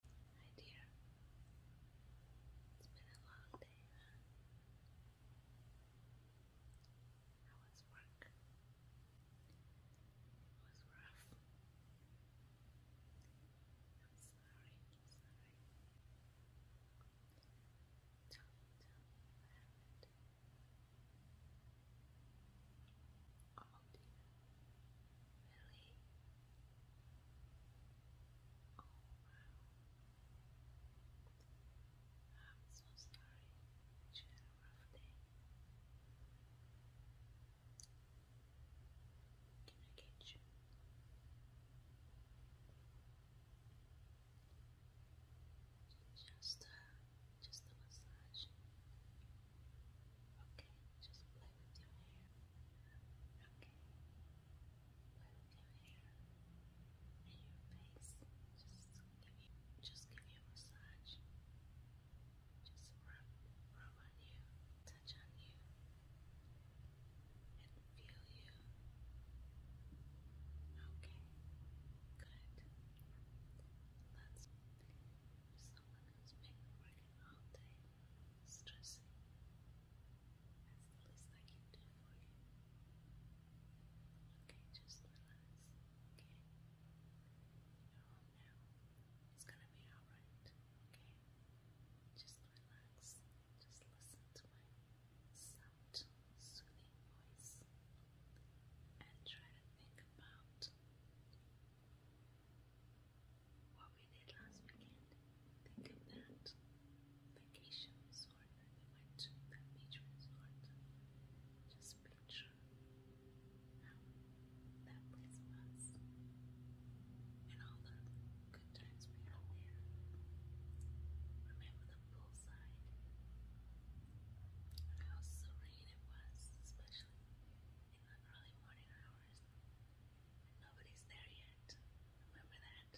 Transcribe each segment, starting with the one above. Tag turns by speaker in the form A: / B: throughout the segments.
A: Hi dear. It's been a long day, huh? How was work? It was rough. I'm sorry, I'm sorry. Tell me, tell me what happened. Oh really oh wow I'm so sorry you had a can I get you? Just, uh, just a massage. Okay, just play with your hair. Okay, play with your hair and your face. Just give you, just give you a massage. Just rub, rub on you, touch on you, and feel you. Okay, good. That's someone who's been working all day stressing. That's the least I can do for you. Okay, just relax. Okay? You're home now. It's gonna be alright. Okay? Just relax. Just listen to my soft, soothing voice and try to think about what we did last weekend. Think of that. Vacation resort that we went to, that beach resort. Just picture how that place was. And all the good times we had there. Remember the poolside. how serene it was, especially in the early morning hours. nobody's there yet. Remember that?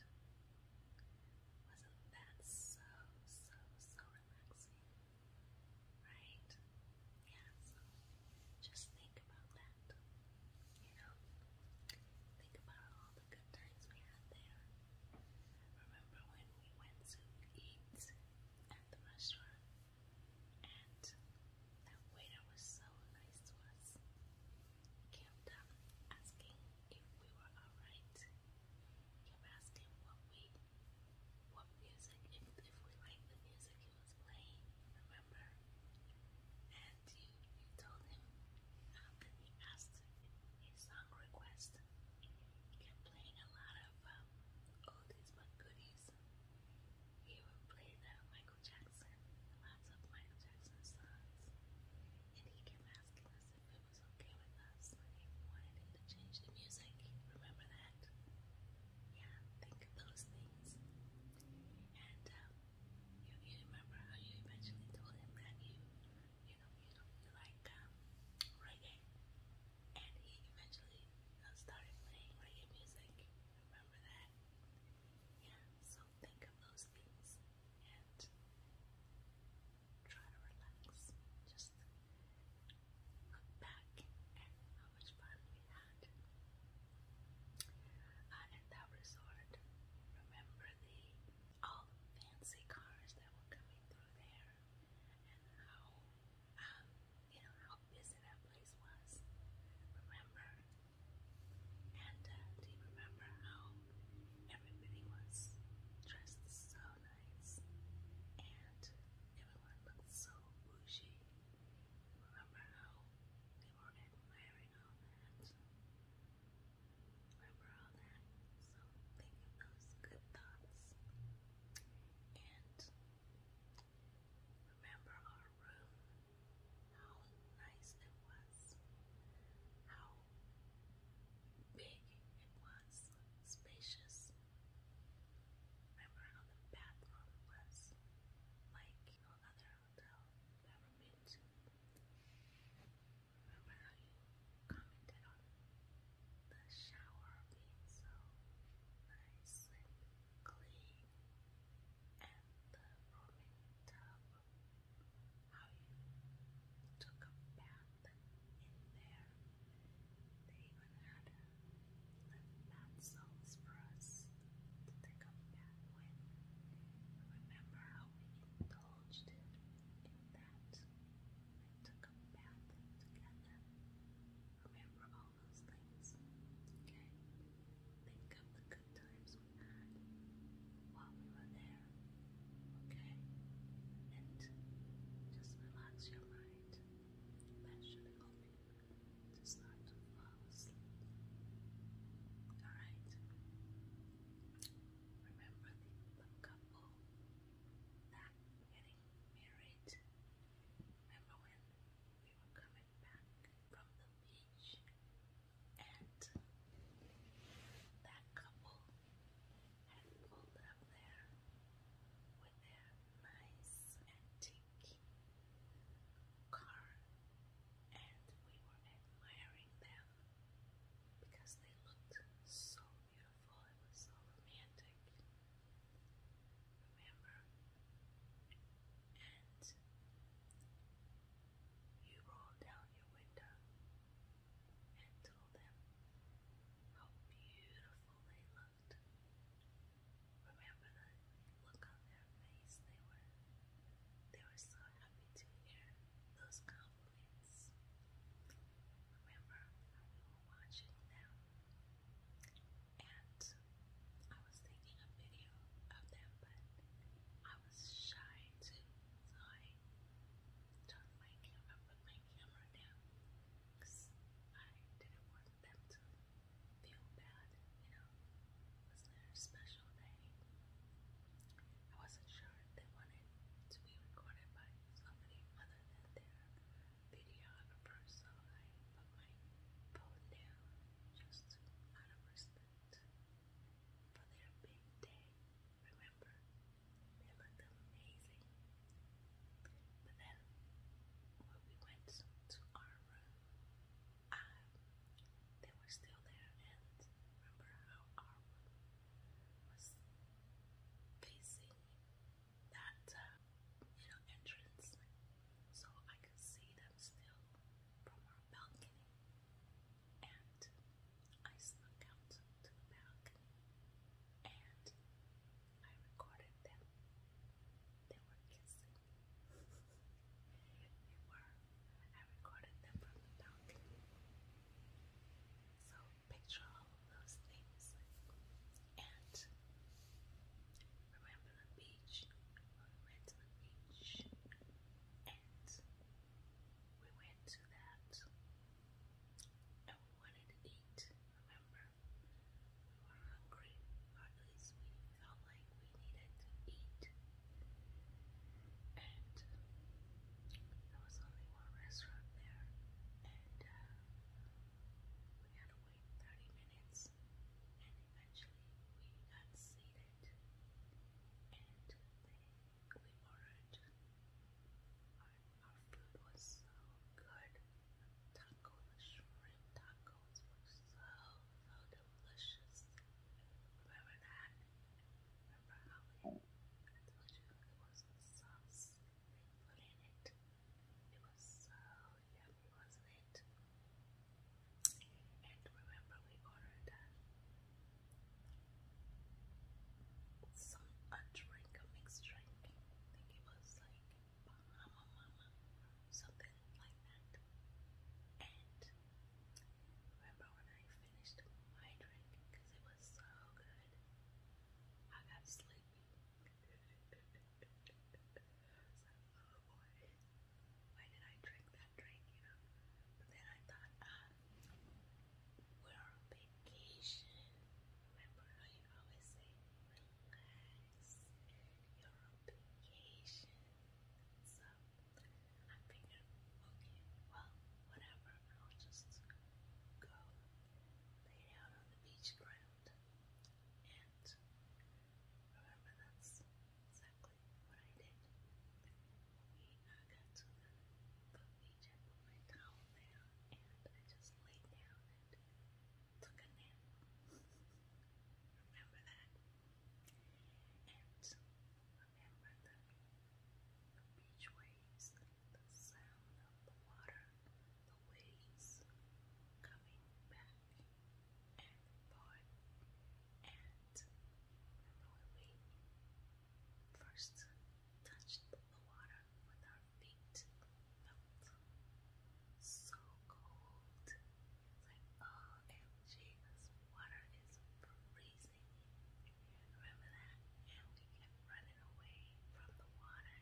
A: Wasn't that so, so, so relaxing? Right? Yeah, just think about that. You know? Think about all the good times we had there. Remember when we went to eat at the restaurant and that waiter was so nice to us. He kept um, asking if we were alright. Kept asking what we, what music, if, if we liked the music he was playing, remember? And you, told him, um, he asked a song request. He kept playing a lot of um, oldies but goodies. He would play the, like Michael Jackson, lots of Michael Jackson songs, and he kept asking us if it was okay with us he wanted him to change the music. Remember that? Yeah, think of those things. And you, you remember how you eventually told him that you, you know, you, you like reggae, and he eventually started playing reggae music. Remember that? Yeah, so think of those things and try to relax. Just look back at how much fun we had uh, at that resort. Remember the all fancy cars that were coming through there, and how um, you know how busy that place was. Remember and uh, do you remember how everybody was dressed so nice and everyone looked so bougie? Remember how we were admiring all that? Remember all that? So think of those good thoughts. And remember our room how nice it was, how big it was, spacious. Remember how the bathroom was like other hotel you've ever to. Remember how you commented on the shower being so nice and clean and the roaming tub, how you took a bath in there. They even had bath salts for to take a bath with. Remember how we indulged in that? We took a bath together. Remember those things. Okay? Think of the good times while we were there. Okay? And just relax your mind. That should help you to start to fall asleep. Alright? Remember the couple that getting married? Remember when we were coming? right back from the beach, and that couple had pulled up there with their nice antique car, and we were admiring them because they looked so beautiful. It was so romantic. Uh, remember. And you rolled down your window and told them how beautiful they looked. Remember the look on their face they were they were so happy to hear those compliments. Remember we were watching them and I was taking a video of them, but I was shy too, so I turned my camera, put my camera down, because I didn't want them to feel bad, you know, it was their special day. I wasn't sure they wanted to be recorded by somebody other than their videographer, so I put my phone down just out of for their big day. Remember, they looked amazing. But then, when we went to our um, they were still there, and remember how our was facing that, uh, you entrance so I could see them still from our balcony, and I snuck out to the balcony and I recorded them. They were kissing. they were. I recorded them from the balcony. So picture all those things and remember the beach we went to the beach and we went to that and we wanted to eat, remember? We were hungry, or at least we felt like we needed to eat. And there was only one restaurant there, and we had to wait 30 minutes, and eventually we got seated it and we ordered. Our, food was so good. Taco, the shrimp tacos were so, so delicious. Remember that? Remember how I told you it was the sauce they put in it? It was so yum, was it? And remember, we ordered some a drink, a mixed drink. I think it was like Bahama Mama, something like that. And remember when I finished my drink because it was so good, I got sleepy. I why did I drink that drink, you know? But then I thought, we're on vacation. Remember how you always say, relax, you're on vacation. So I figured, okay, well, whatever, I'll just go lay down on the beach ground. And remember, that's exactly what I did. We uh, got to the beach, put my towel down, and I just laid down and took a nap. remember that? And remember the beach waves, the sound of the water, the waves coming back and boy and remember we first touched the water with our feet felt so cold. like oh MG this water is freezing. Remember that? And we kept running away from the water.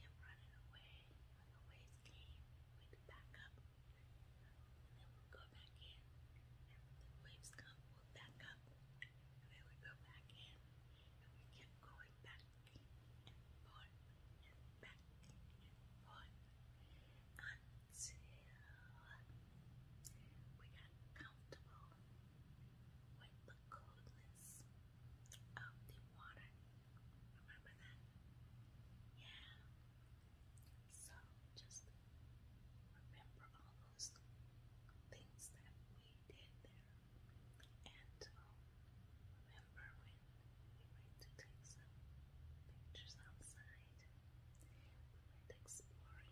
A: Kept running away. When the waves came, we'd back up then we go back in, and the waves come, we back up, and then we go back in, and we keep going back and forth, and back and forth, until we got comfortable with the coldness of the water. Remember that? Yeah. So just remember all those things that we did there. And um, remember when we went to take some pictures outside, we went the place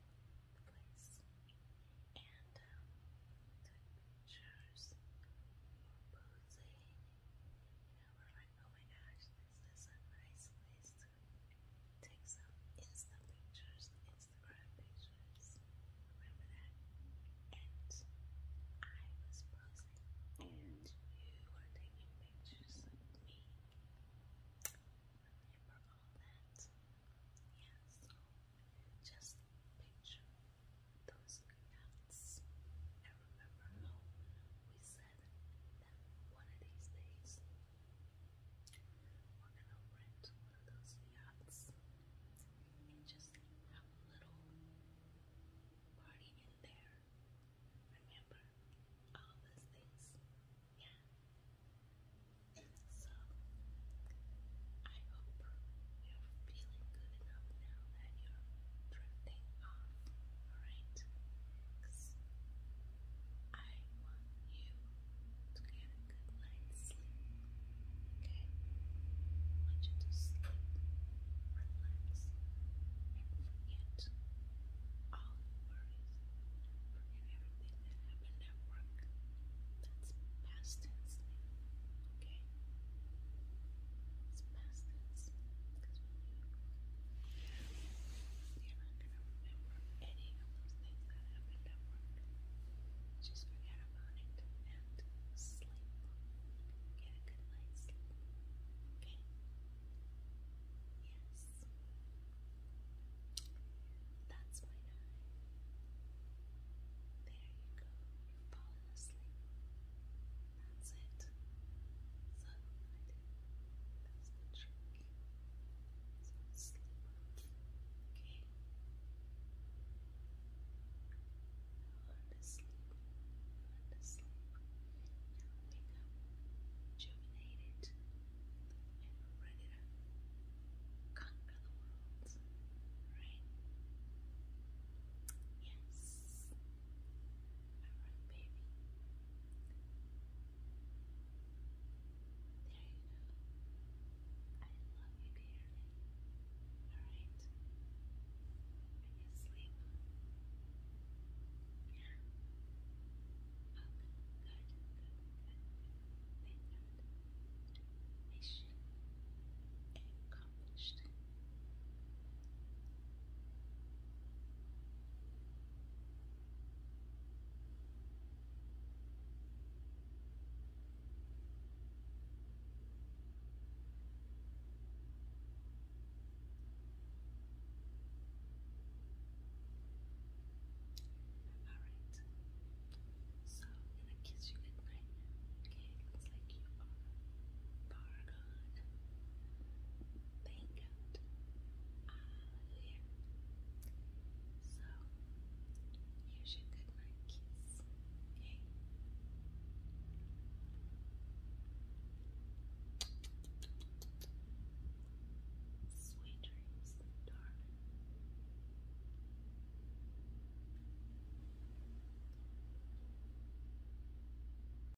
A: and um, took pictures, we were you oh my gosh, this is to take some Insta pictures, Instagram pictures. Remember that? And I was posing, and you were taking pictures of me. Remember all that? Yeah, so just picture those nuts. I remember how we said one of these days we're gonna rent one of those yachts and just have a little party in there. Remember all those things? Yeah. So I hope you're feeling good enough now that you're drifting off, alright? Because I want you to get a good night's sleep, okay? I want you to sleep, relax, and forget all worries, forget everything that happened at work. That's past tense okay? It's past tense you're not going to remember any of those things that happened at work. Just forget about it and sleep. Get a good night's sleep. Okay? Yes. That's my nine. There you go. You've fallen asleep. That's it. So I That's the trick. So sleep Okay. Learn to sleep. Learn to sleep. Now wake up. Rejuvenated. And ready to conquer the world. Right? Yes. Alright, baby. There you go. I love you dearly. Alright. Are you asleep? Yeah. Oh, good, good, good, Mission accomplished. Alright. So I'm gonna kiss you goodnight. Okay, looks like you are far gone bang out. Hallelujah. So, here's your good kiss. Sweet dreams, darling.